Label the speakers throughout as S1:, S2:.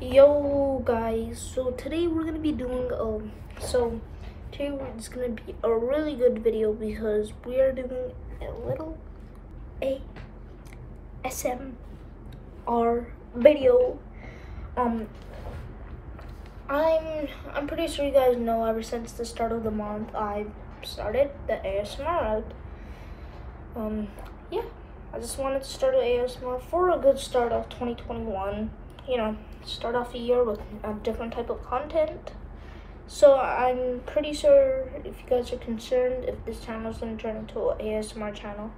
S1: yo guys so today we're gonna be doing um so today it's gonna be a really good video because we are doing a little a smr video um i'm i'm pretty sure you guys know ever since the start of the month i started the asmr out um yeah, I just wanted to start an ASMR for a good start of 2021. You know, start off a year with a different type of content. So I'm pretty sure if you guys are concerned if this channel is going to turn into an ASMR channel.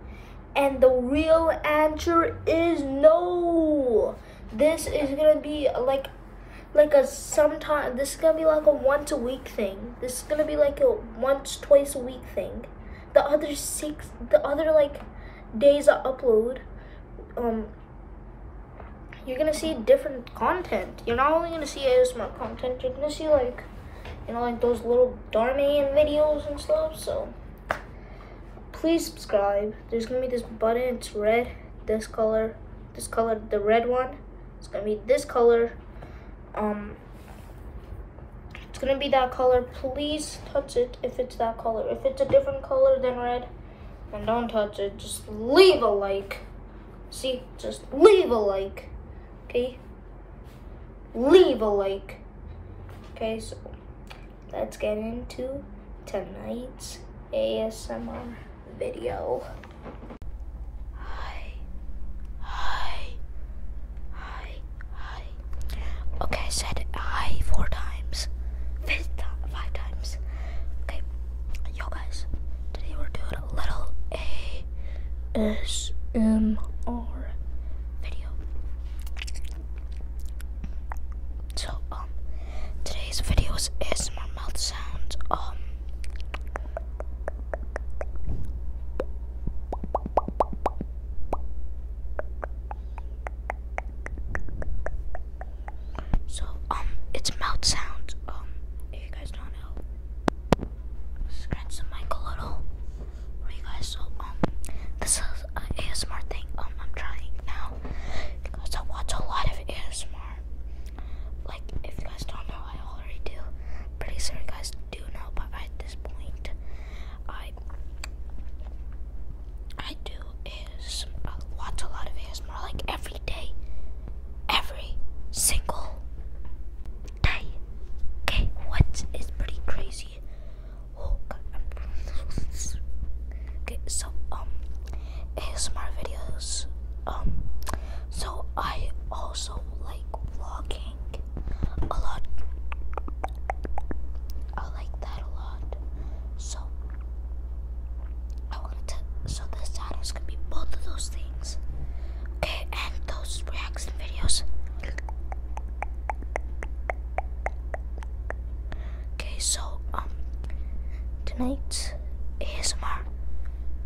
S1: And the real answer is no. This is going to be like like a sometime this is going to be like a once a week thing. This is going to be like a once twice a week thing. The other six, the other like days I upload, um, you're gonna see different content. You're not only gonna see ASMR content, you're gonna see like, you know, like those little Darmain videos and stuff. So please subscribe. There's gonna be this button. It's red. This color. This color. The red one. It's gonna be this color. Um, it's gonna be that color. Please touch it if it's that color. If it's a different color than red, and don't touch it. Just leave a like. See, just leave a like, okay? Leave a like. Okay, so let's get into tonight's ASMR video. Hi. Hi. Hi. Hi. Okay, I said hi four times. Fifth time, five times. Okay. Yo guys. Today we're doing a little ASMR video. So um today's video is ASMR mouth sounds. Um so, um, it's mouth sounds. Um, if you guys don't know, scratch the mic a little you guys. So, um, this is an ASMR thing. Um, I'm trying now because I watch a lot of ASMR. Like, if you guys don't know, I already do. Pretty sure you guys do know, but at this point, I I do is uh, watch a lot of ASMR like every day, every single day. Okay, what is pretty crazy? Oh, okay. So um, ASMR videos um so I also like vlogging a lot. I like that a lot. So I wanted to so this channel is gonna be both of those things. Okay, and those reaction videos. Okay, so um tonight ASMR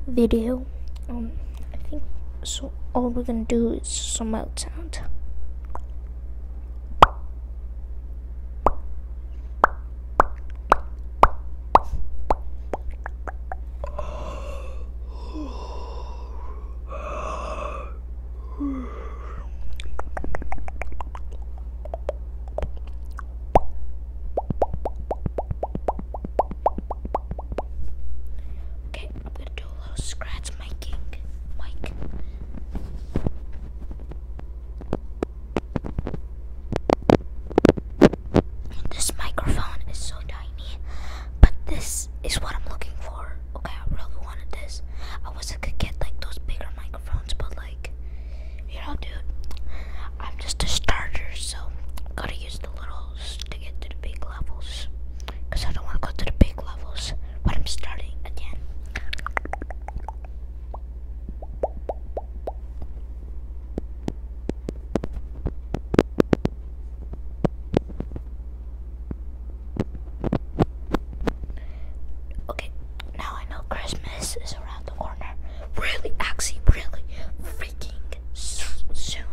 S1: video. Um, I think so. All we're gonna do is some mouth sound. Okay, I'm gonna do a little scratch miking. Mike. This microphone is so tiny, but this is what I'm looking for. Okay, I really wanted this. I wish I could get like those bigger microphones, but like you know, dude, I'm just a starter, so gotta use the littles to get to the big levels. Because I don't want to go to the big levels but I'm starting again. Okay, now I know Christmas is around the corner. Really, actually, really freaking soon.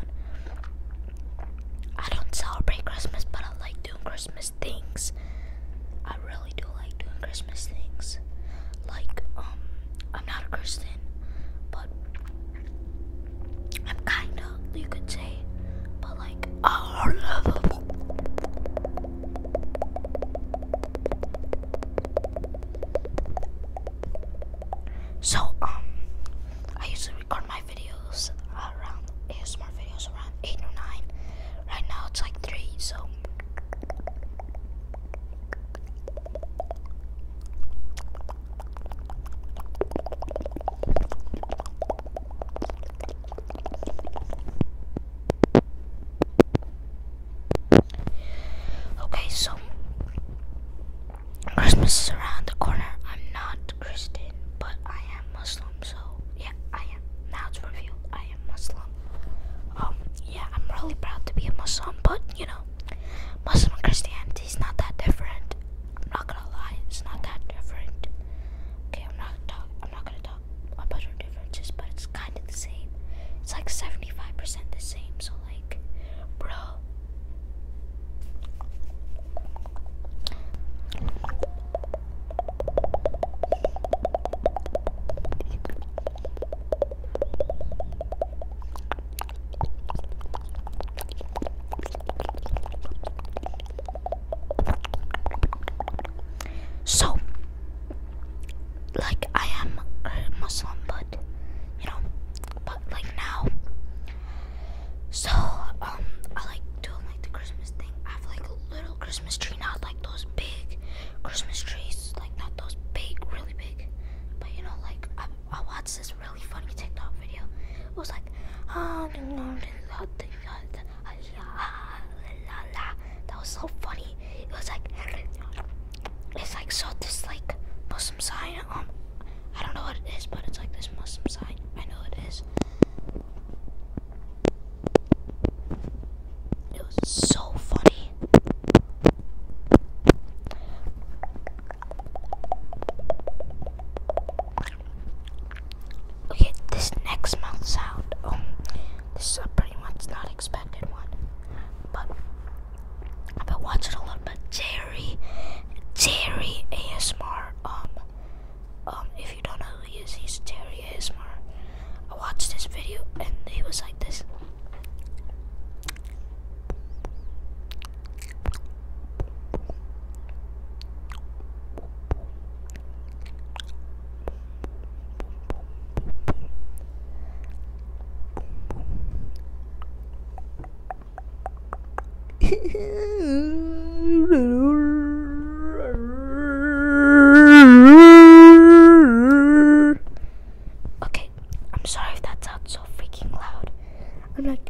S1: I don't celebrate Christmas, but I like doing Christmas things. I really do like doing Christmas things. Like, um, I'm not a Christian, but I'm kinda, you could say, but like, I love it. So um, I usually record my videos around more videos around eight or nine. Right now it's like three, so. Okay, so Christmas is around the corner. I'm not Christian, but I am Muslim, so yeah, I am. Now to revealed I am Muslim. Um, yeah, I'm really proud to be a Muslim, but you know, Muslim and Christianity is not that different. I'm not gonna lie, it's not that different. Okay, I'm not talk I'm not gonna talk about our differences, but it's kind of the same. It's like 75% the same, so like, bro. So, like I am a Muslim, but you know, but like now. So um, I like doing like the Christmas thing. I have like a little Christmas tree, not like those big Christmas trees, like not those big, really big. But you know, like I, I watched this really funny TikTok video. It was like, oh, that was so funny. It was like it's like so this like Muslim sign. Um, I don't know what it is, but it's like this Muslim sign. I know it is. It was so funny. Okay, this next mouth sound, um, this is a pretty much not expected one, but I've been watching a lot, but Jerry, Jerry ASMR, um, um, if you don't know who he is, he's Jerry ASMR. I watched this video and it was like this okay, I'm sorry if that sounds so freaking loud. I'm like.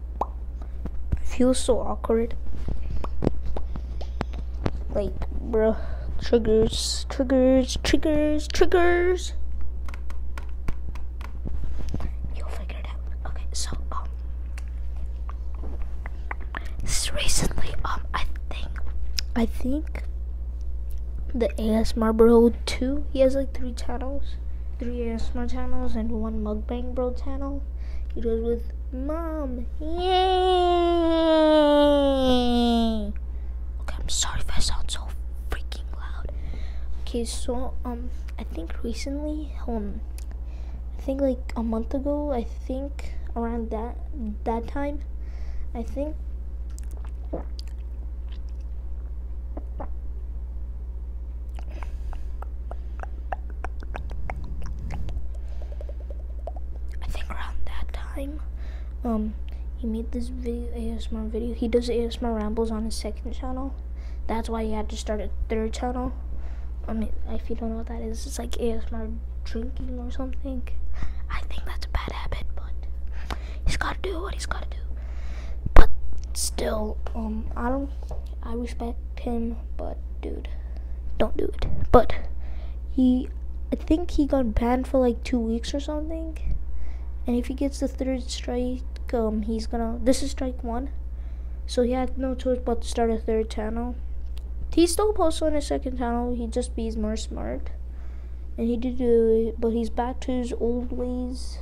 S1: I feel so awkward. Like, bro, triggers, triggers, triggers, triggers. You'll figure it out. Okay, so um, recently um, I think, I think the AS Bro 2. He has like three channels, three ASMR channels, and one Mukbang Bro channel. He does with Mom. Yay! Okay, I'm sorry if I sound so freaking loud. Okay, so um, I think recently, um, I think like a month ago, I think around that that time, I think I think around that time, um, he made this video ASMR video. He does ASMR rambles on his second channel. That's why he had to start a third channel. I mean, if you don't know what that is, it's like ASMR drinking or something. I think that's a bad habit, but he's got to do what he's got to do. But still, um, I don't, I respect him, but dude, don't do it. But he, I think he got banned for like two weeks or something. And if he gets the third strike, um, he's gonna. This is strike one, so he had no choice but to start a third channel. He still posts on his second channel. He just be's more smart and he did, uh, but he's back to his old ways,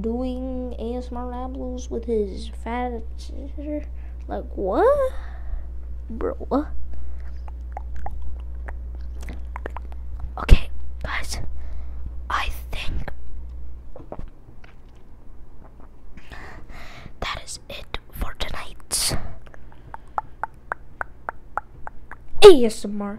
S1: doing ASMR rambles with his fat, like what, bro? Okay, guys, I think that is it for tonight's ASMR